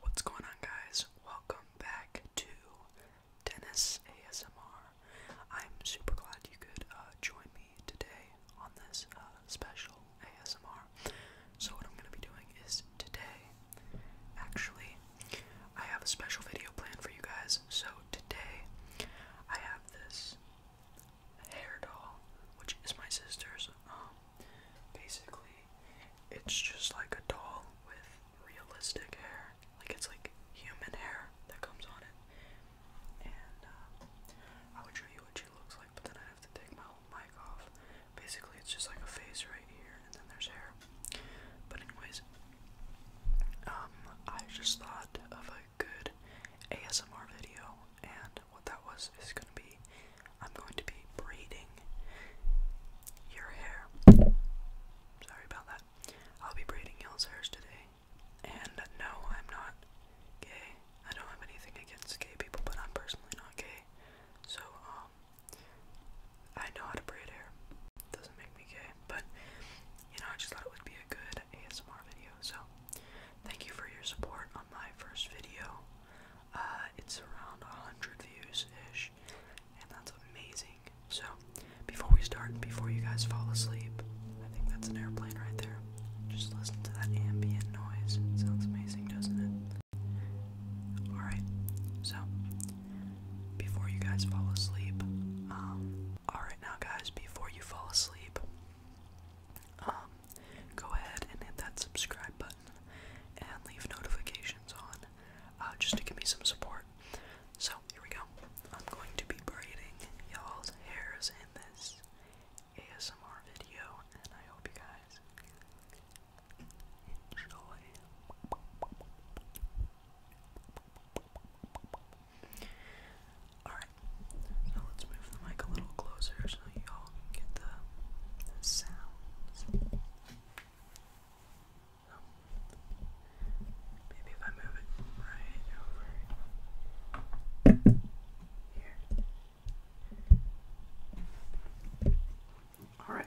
What's going on, guys? Welcome back to Dennis ASMR. I'm super glad you could uh, join me today on this uh, special ASMR. So, what I'm going to be doing is today, actually, I have a special video planned for you guys. So, today, I have this hair doll, which is my sister's. Um, basically, it's just like a doll with realistic hair, like it's like human hair that comes on it. And uh, I would show you what she looks like, but then I have to take my mic off. Basically, it's just like a face right here, and then there's hair. But anyways, um, I just thought of a good ASMR video, and what that was is going to be I'm going to be braiding your hair. Sorry about that. I'll be braiding y'all's hairs today. And no, I'm not gay. I don't have anything against gay people, but I'm personally not gay. So, um, I know how to braid hair. Doesn't make me gay, but you know, I just thought it would be a good ASMR video. So, Thank you for your support on my first video. Uh, it's around 100 views ish, and that's amazing. So, before we start, before you guys fall asleep, I think that's an airplane right there. Just listen to that ambient noise. sounds amazing, doesn't it? Alright, so, before you guys fall asleep, um, alright now, guys, before you fall asleep, um, go ahead and hit that subscribe button and leave notifications on uh, just to give me some support. So, here we go. I'm going to be braiding y'all's hairs in this ASMR video, and I hope you guys enjoy. Alright, so let's move the mic a little closer so you all get the, the maybe if I move it right over here. Alright.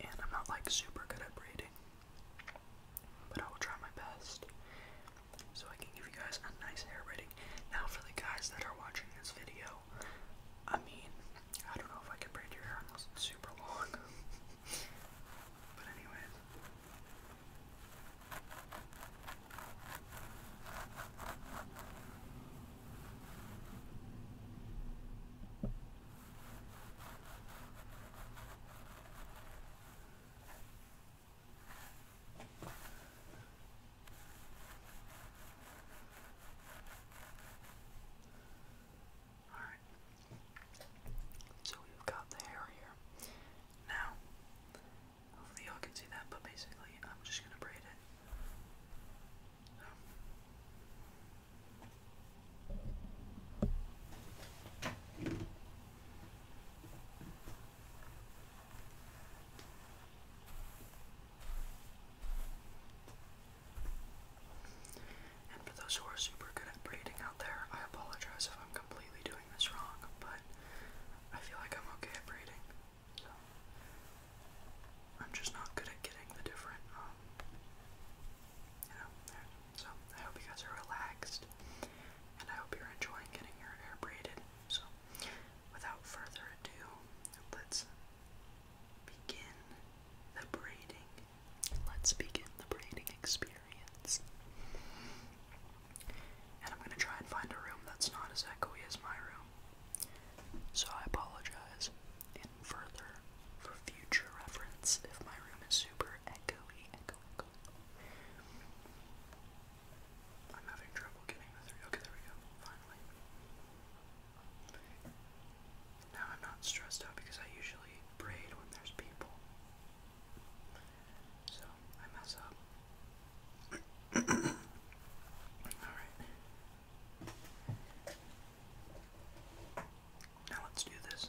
And I'm not like super good at braiding, but I will try my best so I can give you guys a nice hair braiding. Now, for the guys that are watching this video, I mean, I don't know if I can braid your hair unless it's super long. but, anyways. Alright. So we've got the hair here. Now Hopefully y'all can see that, but basically I'm just gonna braid it. And for those who are super good at braiding out there, I apologize if I'm completely doing this wrong, but I feel like I'm okay at braiding. So I'm just not good at getting the different, um, you know, So I hope you guys are relaxed, and I hope you're enjoying getting your hair braided. So without further ado, let's begin the braiding. Let's begin the braiding experience. And I'm gonna try and find a room that's not as echoey as my room. So I apologize in further for future reference if my room is super echoey, I'm having trouble getting the Okay, there we go. Finally. Now I'm not stressed out because I usually braid when there's people. So I mess up. Alright. Now let's do this.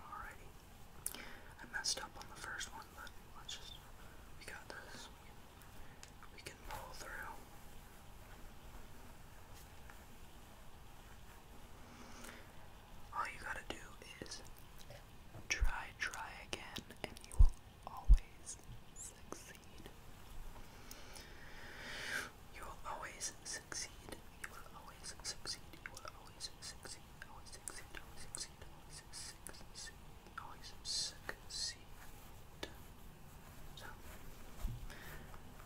Alrighty. I messed up on the first one, but let's just. We got this. We can pull through. All you gotta do is try, try again, and you will always succeed. You will always succeed. You will always succeed. You will always succeed. Always succeed. Always succeed. Always succeed. Always succeed. So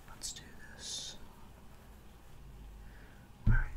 let's do this. All right.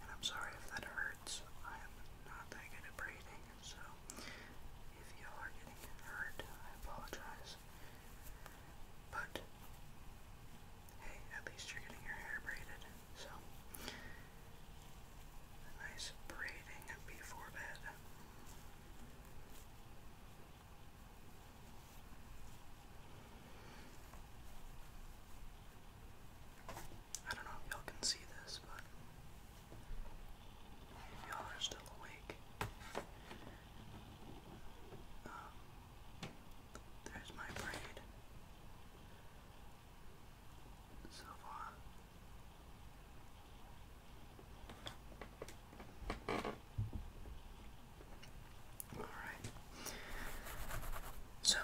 And I'm sorry if that hurts. I am not that good at breathing, so if you are getting hurt, I apologize. But hey, at least you're getting your hair braided, so nice braiding before bed. I don't know if y'all can see this, but y'all are still awake, um, there's my braid so far. Alright. So,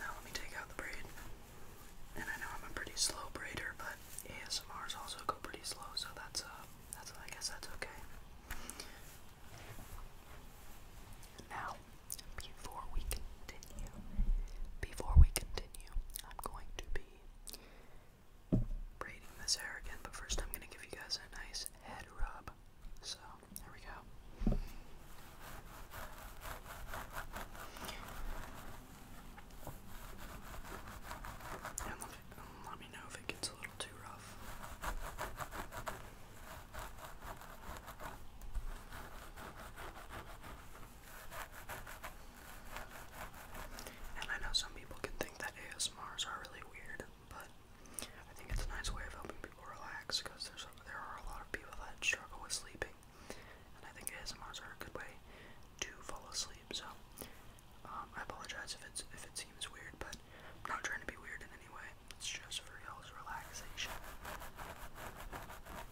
now let me take out the braid. And I know I'm a pretty slow braider, but ASMRs also go pretty slow, so that's uh that's I guess that's okay. Now, before we continue, before we continue, I'm going to be braiding this hair again, but first I'm gonna give you guys a nice head rub. So, here we go. And let me know if it gets a little too rough. And I know some people can think that ASMRs are really weird, but I think it's a nice way of helping people relax because there's there are a lot of people that struggle with sleeping, and I think ASMRs are a good way to fall asleep. So um, I apologize if it's if it seems weird, but I'm not trying to be weird in any way. It's just for y'all's relaxation.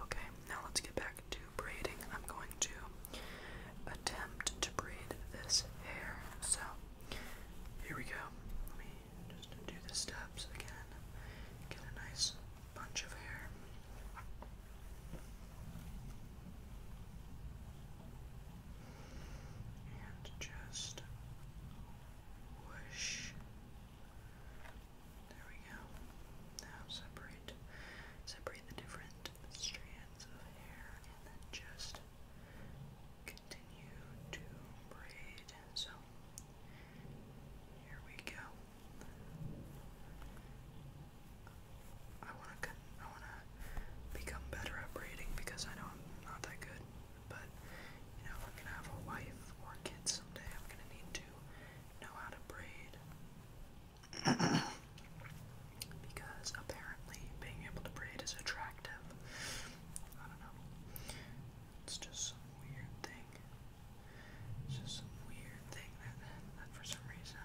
Okay, now let's get back to braiding. I'm going to attempt to braid this hair. So, here we go. Let me just do the steps again. Get a nice bunch of hair. And just there we go. Now separate separate the different strands of hair and then just continue to braid. So here we go. I wanna I wanna become better at braiding because I know I'm not that good. But, you know, I'm gonna have a wife or kids someday, I'm gonna need to know how to braid. because apparently being able to braid is attractive. I don't know. It's just some weird thing. It's just some weird thing that for some reason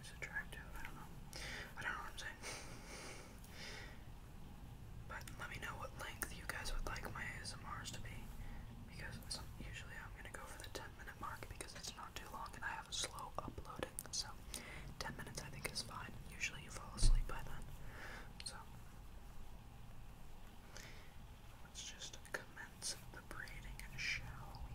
is attractive. I don't know. I don't know what I'm saying. But let me know what length you guys would like my ASMRs to be, because usually I'm gonna go for the 10 minute mark because it's not too long and I have a slow uploading. So 10 minutes I think is fine. Usually you fall asleep by then. So let's just commence the braiding, shall we?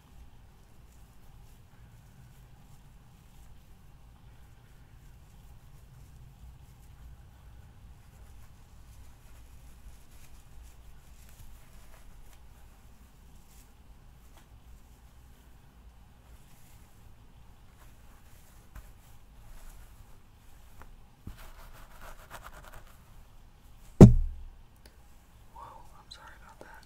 Whoa, I'm sorry about that.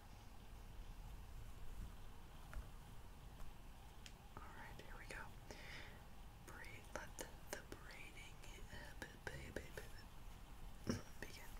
Alright, here we go. Braid, let the, the braiding uh, begin.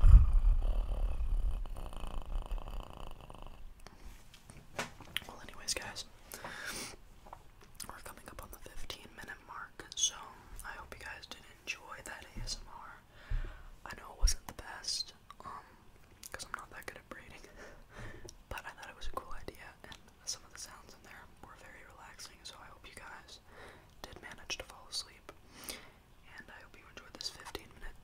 Well, anyways, guys, we're coming up on the 15 minute mark, so I hope you guys did enjoy that ASMR. I know it wasn't the best, um, I'm not that good at braiding, but I thought it was a cool idea, and some of the sounds in there were very relaxing, so I hope you guys did manage to fall asleep. And I hope you enjoyed this 15 minute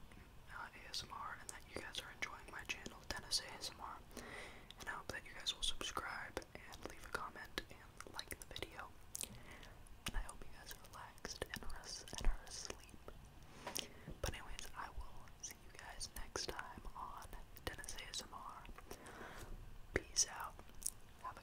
uh, ASMR and that you guys are enjoying my channel, Dennis ASMR. And I hope that you guys will subscribe and leave a comment and like the video. And I hope you guys are relaxed and rest and are asleep. But, anyways, I will see you guys next time on Dennis ASMR. Peace out. Have a